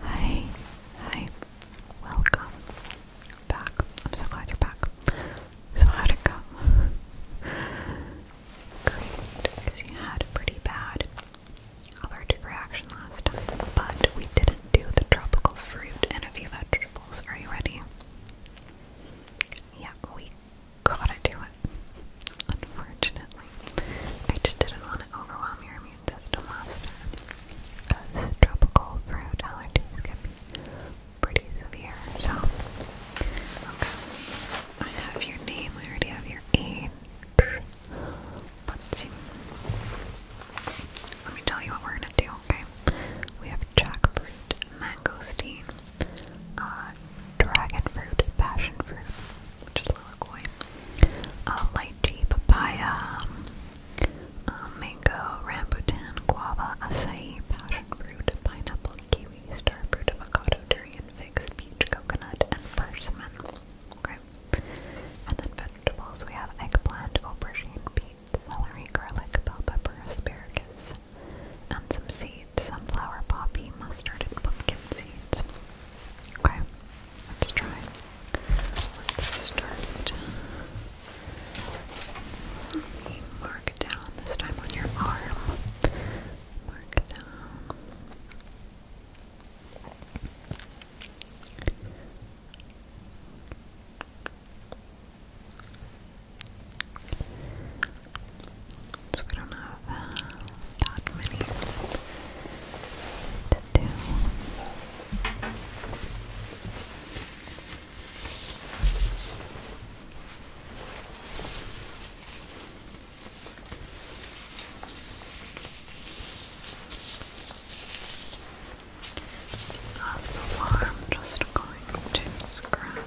Hi, hi, welcome back. I'm so glad you're back. So, how'd it go? Great, because you had a pretty bad allergic reaction last time, but we didn't do the tropical fruit and a few vegetables. Are you ready? Yeah, we gotta do it. Unfortunately, I just didn't want to overwhelm your immune system last because tropical fruit allergies can be pretty severe. So, okay. I have your name, I already have your age. Let's see. Let me tell you what we're gonna do, okay? We have jackfruit, mangosteen, uh, dragon fruit, passion fruit, which is lilikoi, uh, lychee, papaya, uh, mango, rambutan, guava, acai, passion fruit, pineapple, kiwi, starfruit, avocado, durian, figs, peach, coconut, and persimmon. Okay. And then vegetables, we have eggplant, aubergine, beet, celery, garlic, bell pepper, asparagus, and some seeds, sunflower, poppy, mustard, and pumpkin seeds. Okay, let's try. Let's start. Let me down this time on your arm. Mark down. So we don't have uh, that many to do. As before, I'm just going to scratch.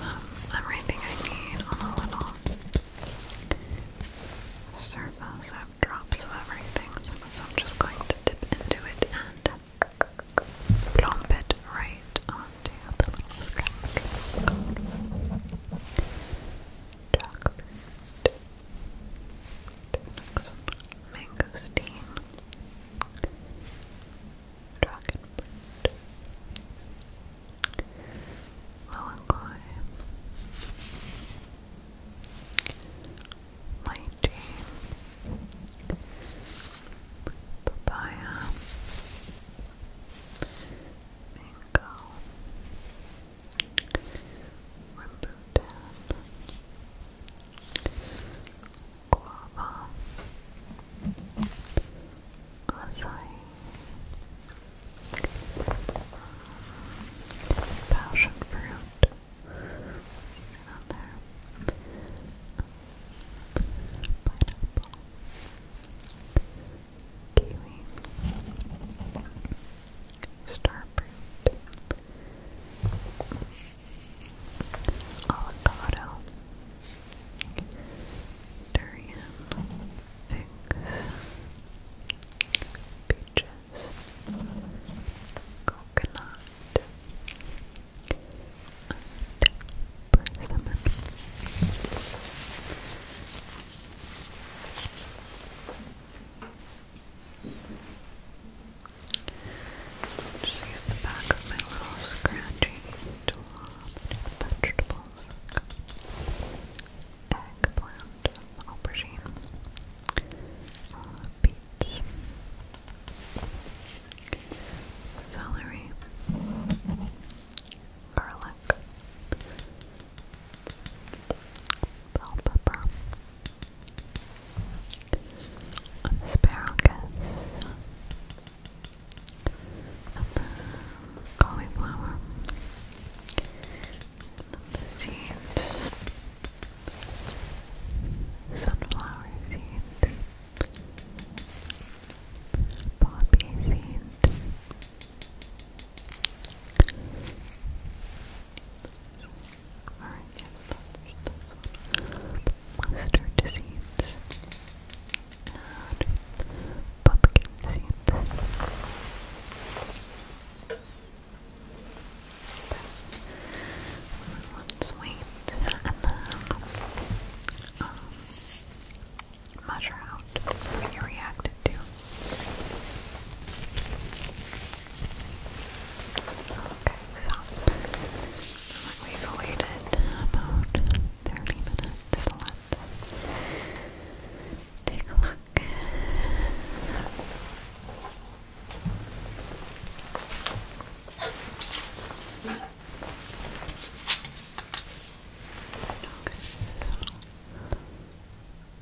have everything I need on a little surface. I have drops of everything, so I'm just going to dip into it and plump it right onto the little sponge. Jackfruit. The next Dragon fruit. Low Papaya. Mango. Rambutan guava, acai, passion fruit, on there, pineapple, kiwi, starfruit avocado, durian, figs, peaches, coconut, and just use the back of my little scratching tool to the vegetables. Eggplant, aubergine, beets, celery, garlic, bell pepper, asparagus, and the cauliflower, and seeds, sunflower seeds, poppy seeds. Alright, yes, that's this one. Mustard seeds and pumpkin seeds. Okay. One sweet and measure out what you reacted to Okay, so we waited about 30 minutes. Let's take a look. Okay,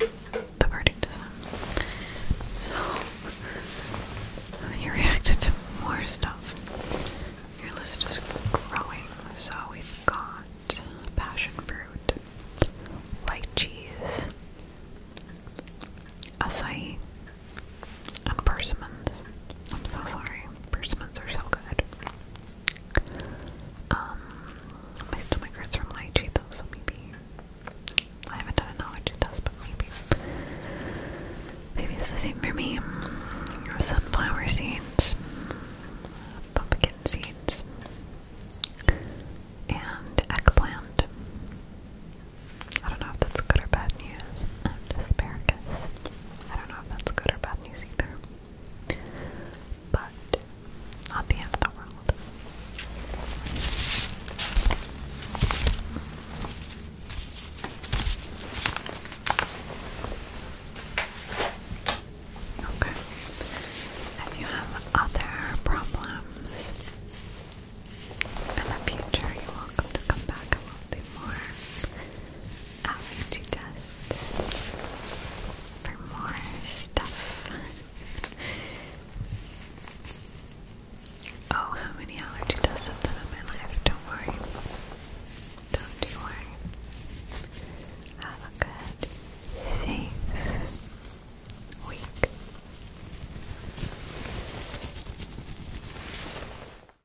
The verdict is So, you reacted to more stuff. Your list is growing. So, we've got passion fruit, light cheese, acai, and persimmons. I'm so sorry. Persimmons are so good. Um, my stomach hurts from lychee though, so maybe I haven't done an allergy test, but maybe maybe it's the same for me. Sunflower seeds, pumpkin seeds, and eggplant. I don't know if that's good or bad news. asparagus. I don't know if that's good or bad news either. But not the end of the world. Okay. If you have other problems in the future, you're welcome to come back and we'll do more allergy tests for more stuff. Oh, how many allergy tests I've done in my life? Don't worry. Don't worry. Have a good, safe